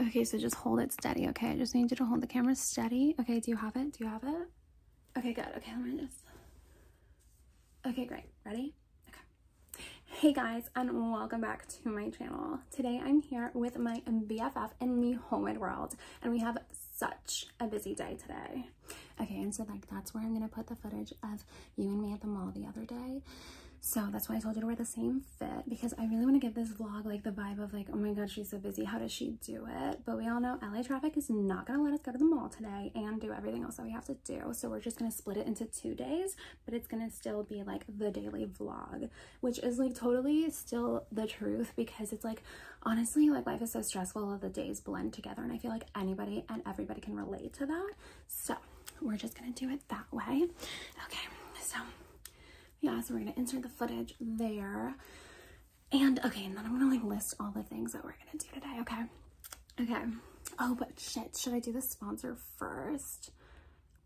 Okay, so just hold it steady, okay? I just need you to hold the camera steady. Okay, do you have it? Do you have it? Okay, good. Okay, let me just... Okay, great. Ready? Okay. Hey guys, and welcome back to my channel. Today I'm here with my BFF in the homemade world, and we have such a busy day today. Okay, and so like that's where I'm gonna put the footage of you and me at the mall the other day. So that's why I told you to wear the same fit because I really want to give this vlog like the vibe of like, oh my god, she's so busy. How does she do it? But we all know LA traffic is not going to let us go to the mall today and do everything else that we have to do. So we're just going to split it into two days, but it's going to still be like the daily vlog, which is like totally still the truth because it's like, honestly, like life is so stressful. The days blend together and I feel like anybody and everybody can relate to that. So we're just going to do it that way. Okay. So yeah, so we're gonna insert the footage there. And okay, and then I'm gonna like list all the things that we're gonna do today, okay? Okay. Oh, but shit, should I do the sponsor first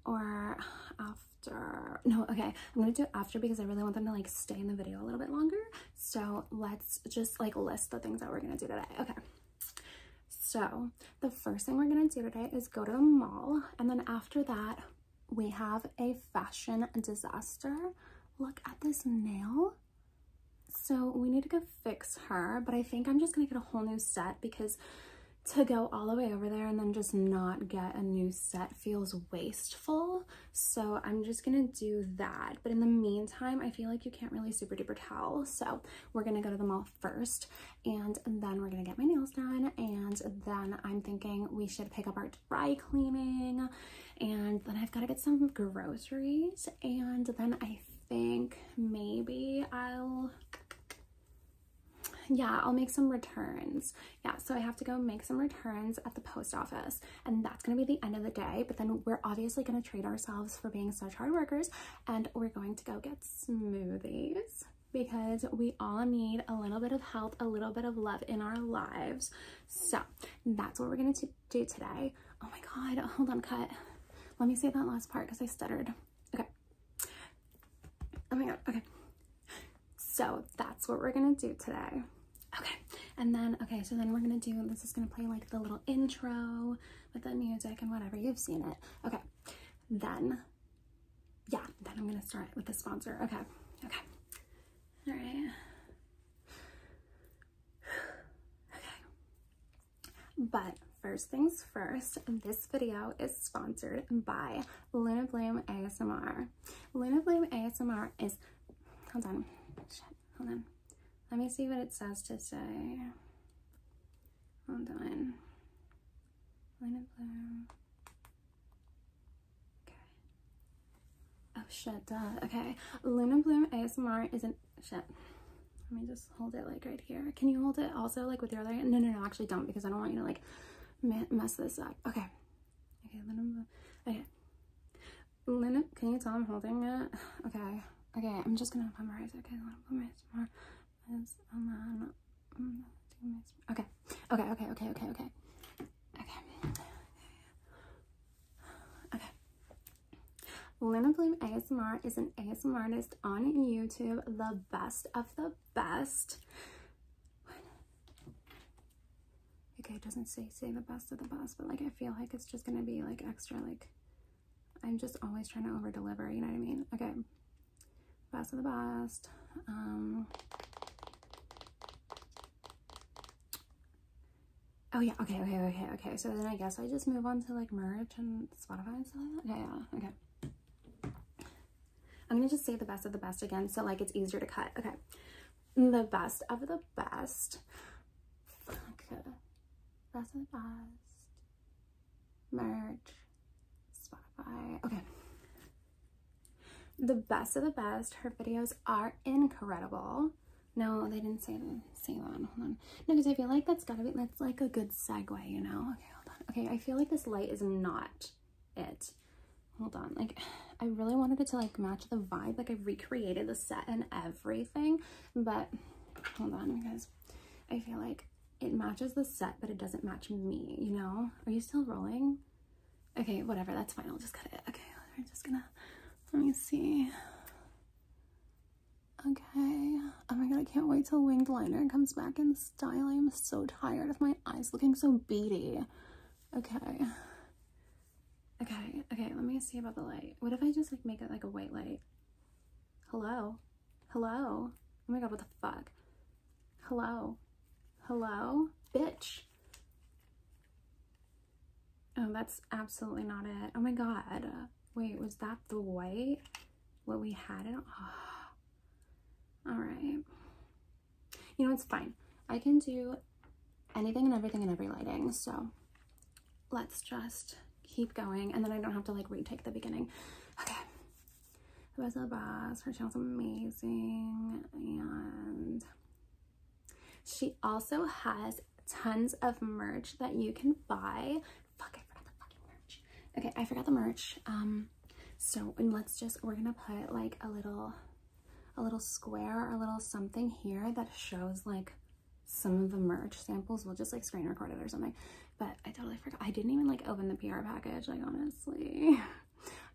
or after? No, okay, I'm gonna do it after because I really want them to like stay in the video a little bit longer. So let's just like list the things that we're gonna do today, okay? So the first thing we're gonna do today is go to the mall and then after that, we have a fashion disaster. Look at this nail. So we need to go fix her, but I think I'm just gonna get a whole new set because to go all the way over there and then just not get a new set feels wasteful. So I'm just gonna do that. But in the meantime, I feel like you can't really super duper tell. So we're gonna go to the mall first and then we're gonna get my nails done and then I'm thinking we should pick up our dry cleaning and then I've got to get some groceries and then I think maybe I'll yeah I'll make some returns yeah so I have to go make some returns at the post office and that's gonna be the end of the day but then we're obviously gonna treat ourselves for being such hard workers and we're going to go get smoothies because we all need a little bit of help, a little bit of love in our lives. So that's what we're going to do today. Oh my God, hold on, cut. Let me say that last part because I stuttered. Okay. Oh my God, okay. So that's what we're going to do today. Okay, and then, okay, so then we're going to do, this is going to play like the little intro with the music and whatever, you've seen it. Okay, then yeah, then I'm gonna start with the sponsor. Okay, okay. All right. okay. But first things first, this video is sponsored by Luna Bloom ASMR. Luna Bloom ASMR is, hold on, hold on. Let me see what it says to say. Hold on. Luna Bloom Okay. Oh shit, duh. Okay. Luna Bloom ASMR is not shit. Let me just hold it like right here. Can you hold it also like with your other hand? No, no, no, actually don't because I don't want you to like mess this up. Okay. Okay, Luna Okay. Luna, can you tell I'm holding it? Okay. Okay, I'm just gonna memorize. Okay, Luna Bloom ASMR is on Okay. Okay, okay, okay, okay, okay. Okay. Okay. Lena Bloom ASMR is an ASMR artist on YouTube, the best of the best. Okay, it doesn't say say the best of the best, but like I feel like it's just gonna be like extra like I'm just always trying to over deliver, you know what I mean? Okay. Best of the best. Um, oh yeah, okay, okay, okay, okay. So then I guess I just move on to like merge and Spotify and stuff like that. Okay, yeah, okay. I'm gonna just say the best of the best again so like it's easier to cut. Okay. The best of the best. Okay. Best of the best. Merge. Spotify. Okay. The best of the best. Her videos are incredible. No, they didn't say that. Hold on. No, because I feel like that's gotta be that's like a good segue, you know? Okay, hold on. Okay, I feel like this light is not it. Hold on. Like I really wanted it to like match the vibe. Like I recreated the set and everything, but hold on because I feel like it matches the set, but it doesn't match me, you know? Are you still rolling? Okay, whatever, that's fine. I'll just cut it. Okay, I'm just gonna, let me see. Okay, oh my god, I can't wait till winged liner comes back in style. I am so tired of my eyes looking so beady. Okay. Okay, okay, let me see about the light. What if I just like make it like a white light? Hello? Hello? Oh my god, what the fuck? Hello. Hello? Bitch. Oh, that's absolutely not it. Oh my god. Wait, was that the white? What we had it Alright. You know, it's fine. I can do anything and everything in every lighting, so let's just keep going and then I don't have to like retake the beginning. Okay the best of the best. Her channel's amazing. And she also has tons of merch that you can buy. Okay, I forgot the merch. Um, so and let's just, we're gonna put like a little, a little square or a little something here that shows like some of the merch samples. We'll just like screen record it or something. But I totally forgot. I didn't even like open the PR package, like honestly.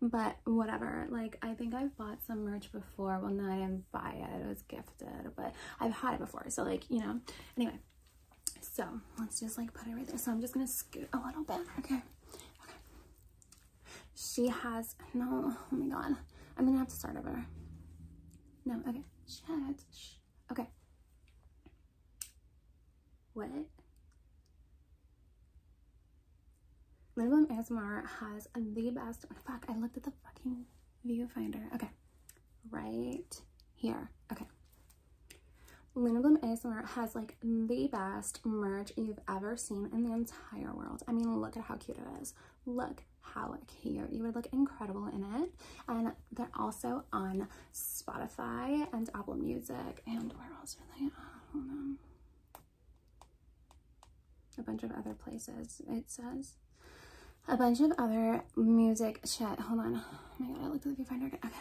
but whatever like i think i've bought some merch before well no i didn't buy it it was gifted but i've had it before so like you know anyway so let's just like put it right there so i'm just gonna scoot a little bit okay okay she has no oh my god i'm gonna have to start over no okay shit Shh. okay what? Minimum ASMR has the best, fuck, I looked at the fucking viewfinder. Okay, right here. Okay. Linabloom ASMR has like the best merch you've ever seen in the entire world. I mean, look at how cute it is. Look how cute. You would look incredible in it. And they're also on Spotify and Apple Music. And where else are they? a bunch of other places. It says a bunch of other music shit. Hold on. Oh my god, I looked at the viewfinder. Okay.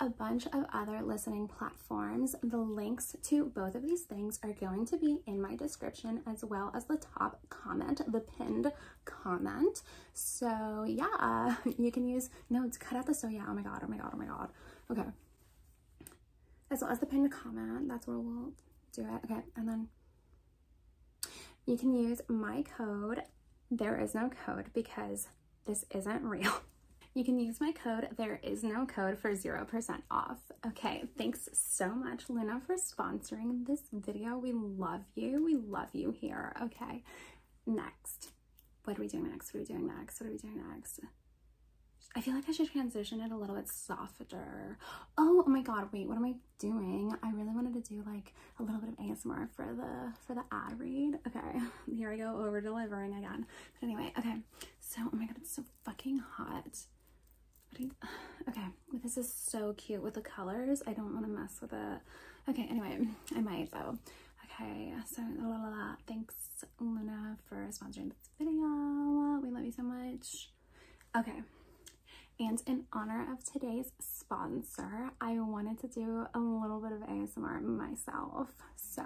A bunch of other listening platforms. The links to both of these things are going to be in my description as well as the top comment, the pinned comment. So yeah, you can use notes. Cut out the so yeah. Oh my god. Oh my god. Oh my god. Okay as well as the pinned comment. That's where we'll do it. Okay, and then you can use my code. There is no code because this isn't real. You can use my code, there is no code for 0% off. Okay, thanks so much, Luna, for sponsoring this video. We love you. We love you here. Okay, next what are we doing next? What are we doing next? What are we doing next? I feel like I should transition it a little bit softer. Oh, oh my god, wait, what am I doing? I really wanted to do like a little bit of ASMR for the for the ad read. Okay, here I go over delivering again. But anyway, okay. So oh my god, it's so fucking hot. okay, this is so cute with the colors. I don't want to mess with it. Okay, anyway, I might though. Okay, so la la la. Thanks Luna for sponsoring this video. We love you so much. Okay. And in honor of today's sponsor, I wanted to do a little bit of ASMR myself. So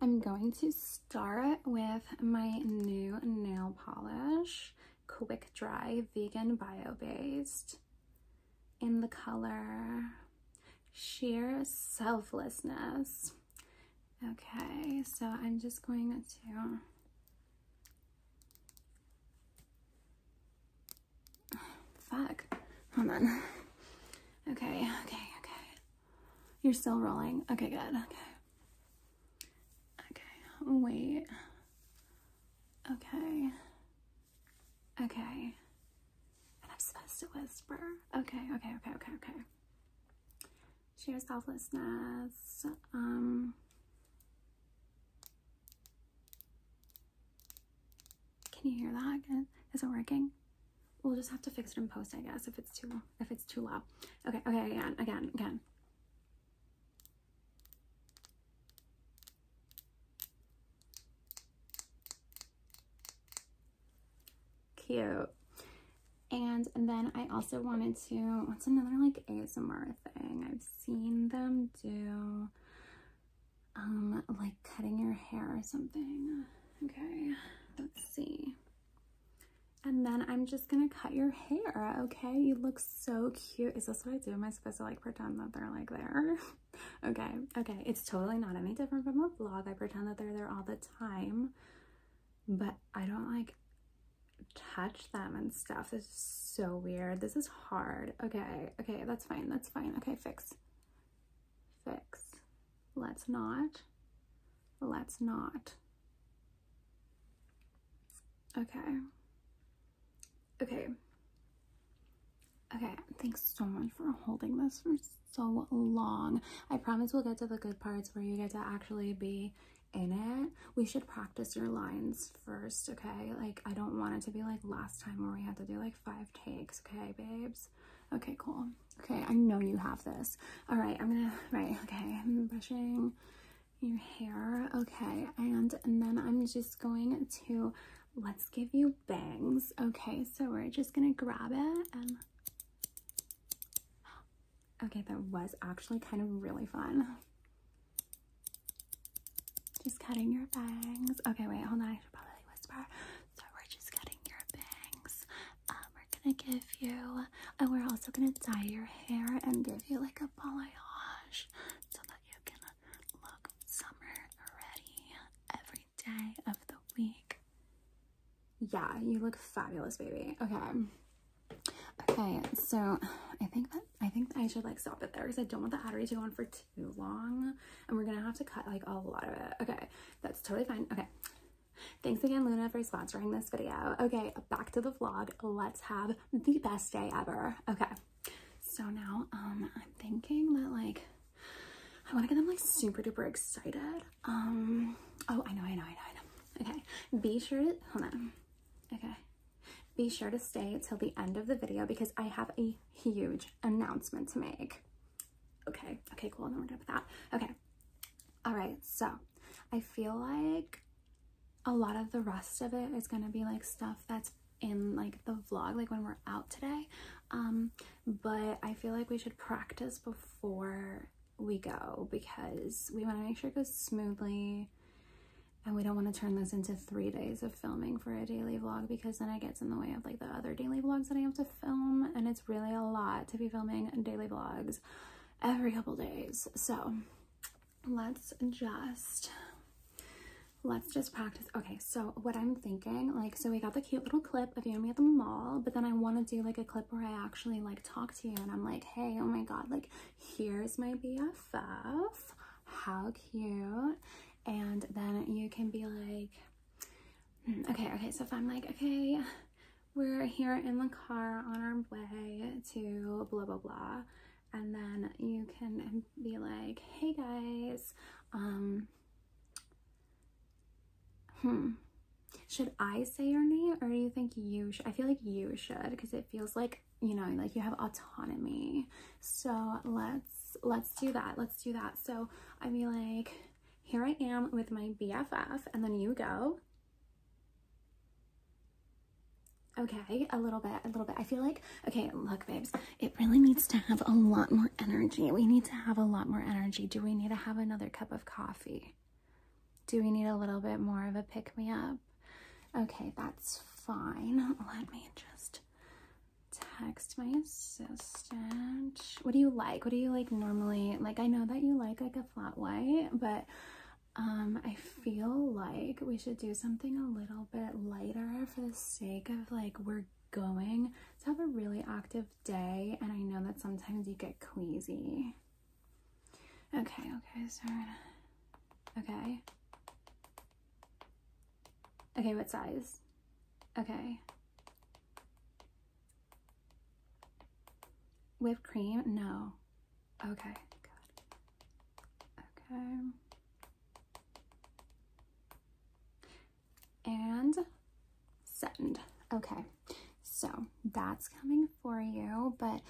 I'm going to start with my new nail polish, Quick Dry Vegan Bio Based in the color sheer selflessness. Okay, so I'm just going to fuck. Hold on. Okay, okay, okay. You're still rolling. Okay, good. Okay. Okay, wait. Okay. Okay. And I'm supposed to whisper. Okay, okay, okay, okay, okay. Share selflessness. Um Can you hear that? Is Isn't working? We'll just have to fix it in post, I guess, if it's too if it's too loud. Okay, okay, again, again, again. Cute. And, then I also wanted to, what's another like ASMR thing? I've seen them do, um, like cutting your hair or something. Okay, let's see. And then I'm just gonna cut your hair, okay? You look so cute. Is this what I do? Am I supposed to like pretend that they're like there? okay, okay. It's totally not any different from a vlog. I pretend that they're there all the time time, but I don't like touch them and stuff. This is so weird. This is hard. Okay, okay, that's fine. That's fine. Okay, fix. Fix. Let's not. Let's not. Okay. Okay. Okay, thanks so much for holding this for so long. I promise we'll get to the good parts where you get to actually be in it. We should practice your lines first, okay? Like, I don't want it to be like last time where we had to do like five takes, okay, babes? Okay, cool. Okay, I know you have this. All right, I'm gonna, right, okay, I'm brushing your hair. Okay, and, and then I'm just going to, let's give you bangs. Okay, so we're just gonna grab it and Okay, that was actually kind of really fun. Just cutting your bangs. Okay, wait, hold on. I should probably whisper. So we're just cutting your bangs. Um, we're gonna give you, and we're also gonna dye your hair and give you like a balayage so that you can look summer ready every day of the week. Yeah, you look fabulous, baby. Okay. Okay, so I think that I think I should like stop it there because I don't want the ad to go on for too long. And we're gonna have to cut like a lot of it. Okay, that's totally fine. Okay. Thanks again, Luna, for sponsoring this video. Okay, back to the vlog. Let's have the best day ever. Okay. So now um I'm thinking that like I want to get them like super duper excited. Um, oh, I know, I know, I know, Okay, be sure to, hold on. Okay, be sure to stay till the end of the video because I have a huge announcement to make. Okay, okay, cool, then we're done with that. Okay, all right, so I feel like a lot of the rest of it is gonna be like stuff that's in like the vlog, like when we're out today. Um, but I feel like we should practice before we go because we want to make sure it goes smoothly and we don't want to turn this into three days of filming for a daily vlog because then it gets in the way of like the other daily vlogs that I have to film and it's really a lot to be filming daily vlogs every couple days so let's just let's just practice okay so what I'm thinking like so we got the cute little clip clip of you and me at the mall, but then I want to do like a clip where I actually like talk to you and I'm like, hey, oh my god, like here's my BFF, how cute. And then you can be like, hmm, okay, okay, so if I'm like, okay, we're here in the car on our way to blah, blah, blah. And then you can be like, hey guys, um, Hmm. Should I say your name or do you think you should? I feel like you should because it feels like, you know, like you have autonomy. So let's, let's do that. Let's do that. So I'd be like, here I am with my BFF and then you go. Okay, a little bit, a little bit. I feel like, okay, look, babes, it really needs to have a lot more energy. We need to have a lot more energy. Do we need to have another another cup of coffee? Do we need a little bit more of a pick me up? Okay, that's fine. Let me just text my assistant. What do you like? What do you like normally? Like, I know that you like like a flat white, but um, I feel like we should do something a little bit lighter for the sake of like we're going to have a really active day, and I know that sometimes you get queasy. Okay, okay, sorry. Okay. Okay, what size? Okay. Whipped cream? No. Okay, Okay and send. Okay, so that's coming for you, but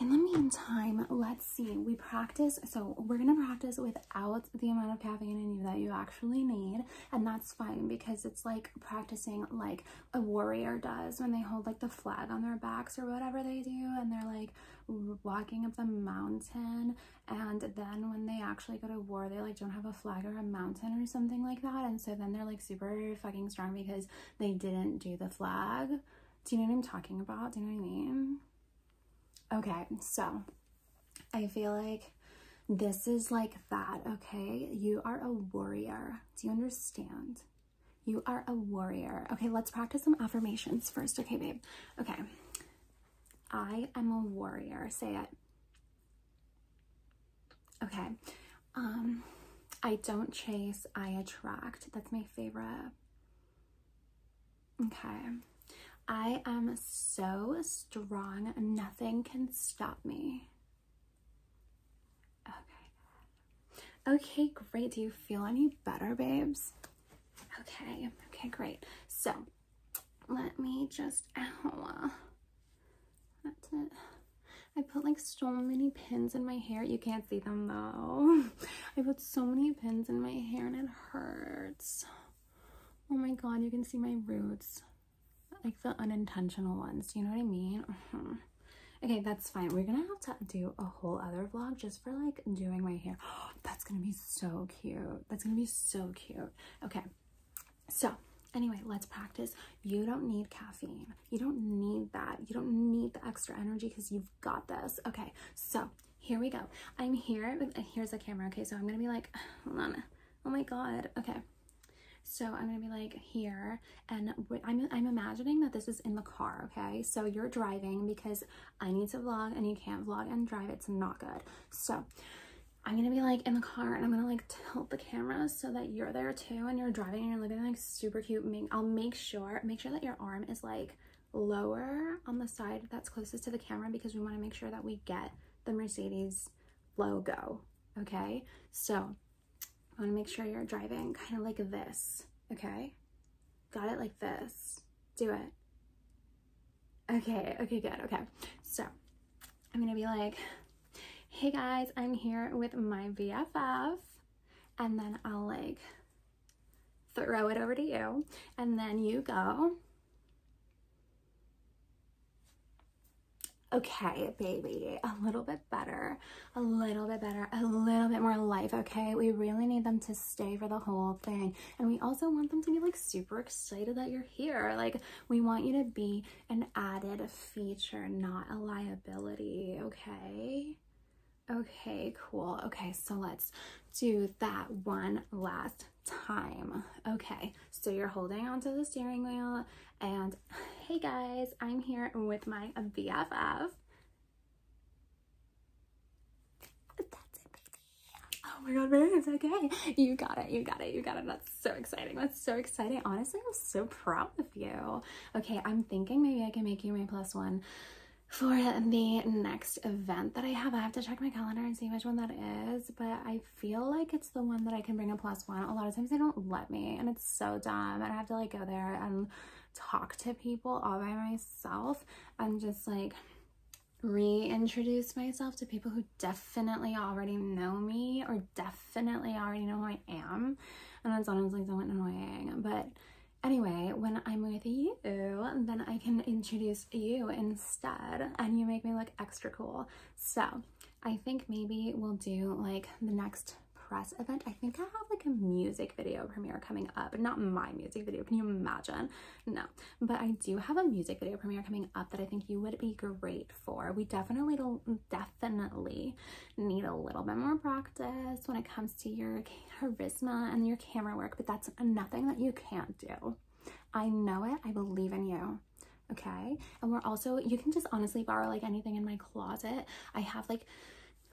in the meantime, let's see, we practice, so we're gonna practice without the amount of caffeine in you that you actually need, and that's fine because it's like practicing like a warrior does when they hold like the flag on their backs or whatever they do, and they're like walking up the mountain, and then when they actually go to war they like don't have a flag or a mountain or something like that and so then they're like super fucking strong because they didn't do the flag do you know what i'm talking about do you know what i mean okay so i feel like this is like that okay you are a warrior do you understand you are a warrior okay let's practice some affirmations first okay babe okay i am a warrior say it Okay. Um, I don't chase, I attract. That's my favorite. Okay. I am so strong, nothing can stop me. Okay. Okay, great. Do you feel any better, babes? Okay. Okay, great. So, let me just, That's it. I put like so many pins in my hair. You can't see them though. I put so many pins in my hair and it hurts. Oh my god, you can see my roots. Like the unintentional ones, you know what I mean? okay, that's fine. We're gonna have to do a whole other vlog just for like doing my hair. that's gonna be so cute. That's gonna be so cute. Okay, so, anyway, let's practice. You don't need caffeine. You don't need that. You don't need the extra energy because you've got this. Okay, so here we go. I'm here. Here's the camera. Okay, so I'm going to be like, hold on. Oh my God. Okay. So I'm gonna be like here and I'm, I'm imagining that this is in the car, okay? So you're driving because I need to vlog and you can't vlog and drive, it's not good. So I'm gonna be like in the car and I'm gonna like tilt the camera so that you're there too and you're driving and you're looking like super cute. Make, I'll make sure, make sure that your arm is like lower on the side that's closest to the camera because we wanna make sure that we get the Mercedes logo, okay? So I wanna make sure you're driving kind of like this, okay? Got it like this, do it. Okay, okay, good, okay. So I'm gonna be like Hey guys, I'm here with my VFF, and then I'll like throw it over to you and then you go. Okay, baby, a little bit better, a little bit better, a little bit more life, okay? We really need them to stay for the whole thing. And we also want them to be like super excited that you're here. Like we want you to be an added feature, not a liability, okay? Okay, cool. Okay, so let's do that one last time. Okay, so you're holding onto the steering wheel and hey guys, I'm here with my BFF. Oh my god, babe, it's okay. You got it, you got it, you got it. That's so exciting. That's so exciting. Honestly, I'm so proud of you. Okay, I'm thinking maybe I can make you my plus one for the next event that I have. I have to check my calendar and see which one that is, but I feel like it's the one that I can bring a plus one. A lot of times they don't let me and it's so dumb and I have to like go there and talk to people all by myself and just like reintroduce myself to people who definitely already know me or definitely already know who I am. And that's sometimes like annoying. But anyway, when I'm with you, then I can introduce you instead and you make me look extra cool. So I think maybe we'll do like the next press event. I think I have like a music video premiere coming up. Not my music video, can you imagine? No, but I do have a music video premiere coming up that I think you would be great we definitely definitely need a little bit more practice when it comes to your charisma and your camera work, but that's nothing that you can't do. I know it. I believe in you. Okay. And we're also, you can just honestly borrow like anything in my closet. I have like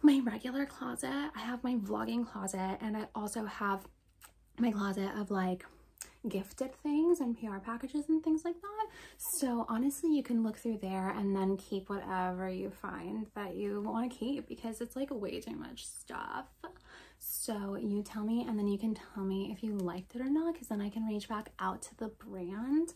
my regular closet, I have my vlogging closet, and I also have my closet of like gifted things and PR packages and things like that. So honestly, you can look through there and then keep whatever you find that you want to keep because it's like way too much stuff. So you tell me and then you can tell me if you liked it or not because then I can reach back out to the brand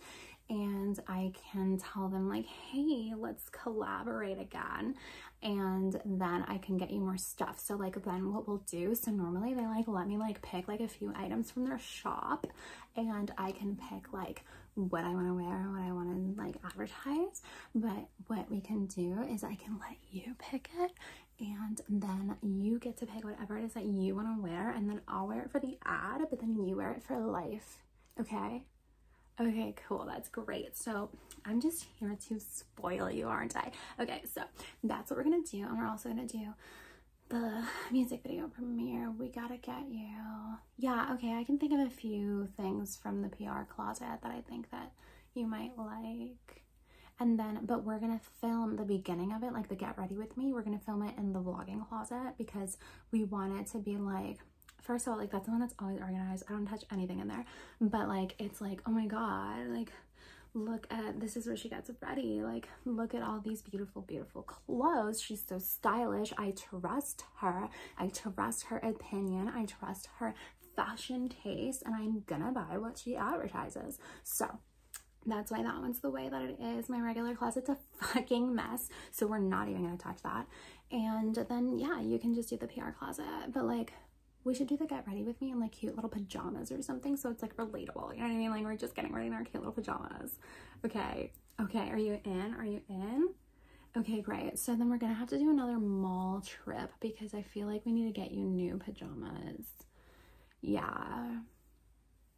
and I can tell them like, hey, let's collaborate again. And then I can get you more stuff. So like then what we'll do, so normally they like let me like pick like a few items from their shop and I can pick like what I want to wear and what I want to like advertise. But what we can do is I can let you pick it and then you get to pick whatever it is that you want to wear and then I'll wear it for the ad, but then you wear it for life. Okay? Okay, cool. That's great. So I'm just here to spoil you, aren't I? Okay, so that's what we're going to do. And we're also going to do the music video premiere, We Gotta Get You. Yeah, okay, I can think of a few things from the PR closet that I think that you might like. And then, but we're gonna film the beginning of it, like the Get Ready With Me, we're gonna film it in the vlogging closet because we want it to be like, first of all, like that's the one that's always organized. I don't touch anything in there, but like, it's like, oh my God, like look at, this is where she gets ready. Like look at all these beautiful, beautiful clothes. She's so stylish. I trust her. I trust her opinion. I trust her fashion taste and I'm gonna buy what she advertises. So that's why that one's the way that it is. My regular closet's a fucking mess. So we're not even gonna touch that. And then yeah, you can just do the PR closet. But like we should do the get ready with me in like cute little pajamas or something. So it's like relatable. You know what I mean? Like we're just getting ready in our cute little pajamas. Okay, okay, are you in? Are you in? Okay, great. So then we're gonna have to do another mall trip because I feel like we need to get you new pajamas. Yeah.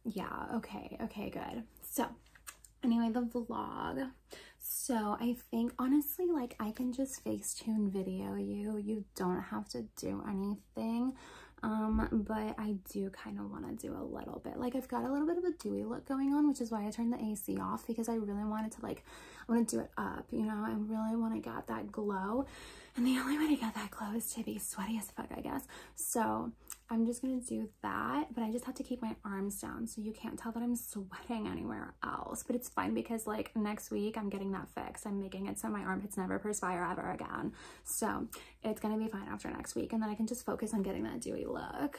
Yeah, okay, okay, good. So anyway, the vlog. So I think honestly, like I can just Facetune video you. You don't have to do anything thing. Um, but I do kind of want to do a little bit. Like I've got a little bit of a dewy look going on, which is why I turned the AC off because I really wanted to like, I want to do it up, you know, I really want to get that glow. And the only way to get that glow is to be sweaty as fuck, I guess. So I'm just going to do that, but I just have to keep my arms down so you can't tell that I'm sweating anywhere else. But it's fine because like next week I'm getting that fix. I'm making it so my armpits never perspire ever again. So it's gonna be fine after next week and then I can just focus on getting that dewy look.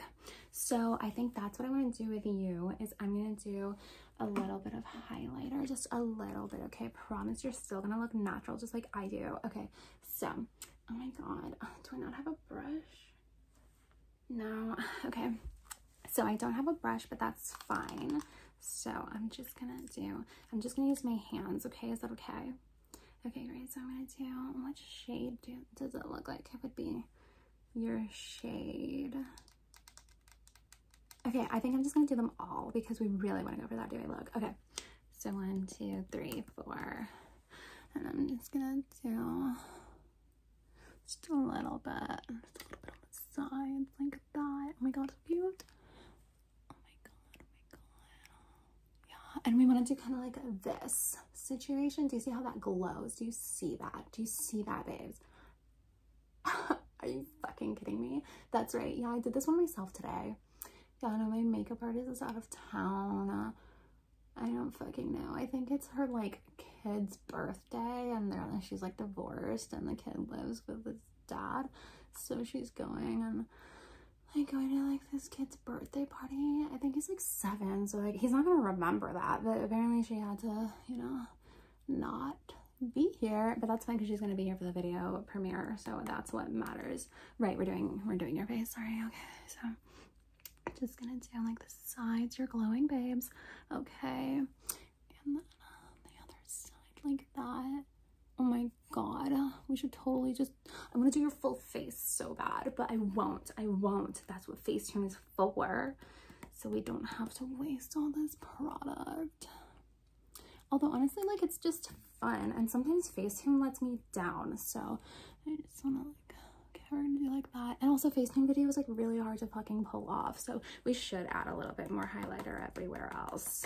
So I think that's what I wanna do with you is I'm gonna do a little bit of highlighter, just a little bit, okay? promise you're still gonna look natural just like I do. Okay, so, oh my God, uh, do I not have a brush? No, okay. So I don't have a brush, but that's fine. So I'm just gonna do, I'm just gonna use my hands, okay? Is that okay? Okay, great. So I'm gonna do what shade does it look like? It would be your shade. Okay, I think I'm just gonna do them all because we really wanna go for that dewy look. Okay, so one, two, three, four. And I'm just gonna do just a little bit, just a little bit on the sides like that. Oh my god, it's cute. Oh my god, oh my god. Yeah, and we want to do kind of like this situation. Do you see how that glows? Do you see that? Do you see that, babes? Are you fucking kidding me? That's right. Yeah, I did this one myself today. Yeah, no, my makeup artist is out of town. I don't fucking know. I think it's her like kid's birthday and she's like divorced and the kid lives with his dad. So she's going and like going to like this kid's birthday party. I think he's like seven, so like he's not gonna remember that. But apparently she had to, you know, not be here. But that's fine because she's gonna be here for the video premiere, so that's what matters. Right, we're doing we're doing your face. Sorry. Okay, so just gonna do like the sides. You're glowing, babes. Okay, and then the other side like that. Oh my god we should totally just i'm gonna do your full face so bad but i won't i won't that's what facetune is for so we don't have to waste all this product although honestly like it's just fun and sometimes facetune lets me down so i just want to like get her to do like that and also facetune video is like really hard to fucking pull off so we should add a little bit more highlighter everywhere else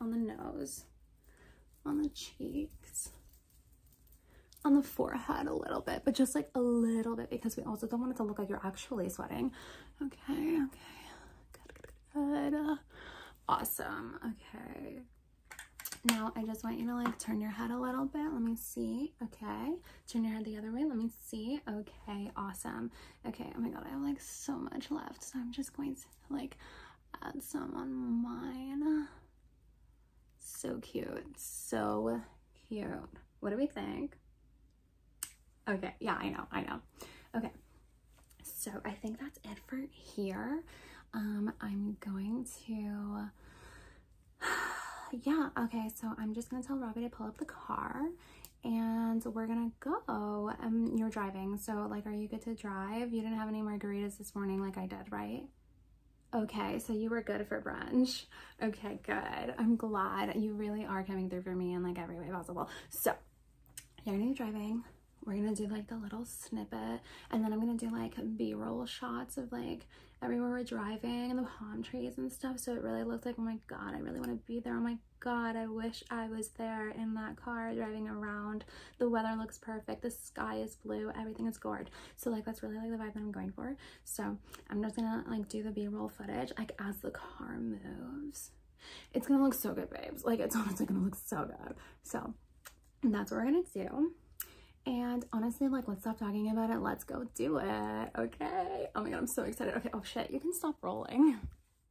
on the nose, on the cheeks, on the forehead a little bit, but just like a little bit because we also don't want it to look like you're actually sweating. Okay, okay, good, good, good. Awesome, okay. Now I just want you to like turn your head a little bit. Let me see. Okay. Turn your head the other way. Let me see. Okay. Awesome. Okay. Oh my God. I have like so much left. So I'm just going to like add some on mine. So cute, so cute. What do we think? Okay, yeah, I know, I know. Okay, so I think that's it for here. Um, I'm going to, yeah, okay, so I'm just gonna tell Robbie to pull up the car and we're gonna go. Um, you're driving, so like, are you good to drive? You didn't have any margaritas this morning like I did, right? Okay, so you were good for brunch. Okay, good. I'm glad you really are coming through for me in like every way possible. So you're gonna be driving. We're gonna do like the little snippet and then I'm gonna do like b-roll shots of like everywhere we're driving and the palm trees and stuff. So it really looks like, oh my God, I really wanna be there. on oh my god, I wish I was there in that car driving around. The weather looks perfect. The sky is blue. Everything is gored. So like that's really like the vibe that I'm going for. So I'm just gonna like do the b-roll footage like as the car moves. It's gonna look so good, babes. Like it's honestly gonna look so good. So that's what we're gonna do. And honestly, like, let's stop talking about it. Let's go do it. Okay. Oh my God, I'm so excited. Okay. Oh shit, you can stop rolling.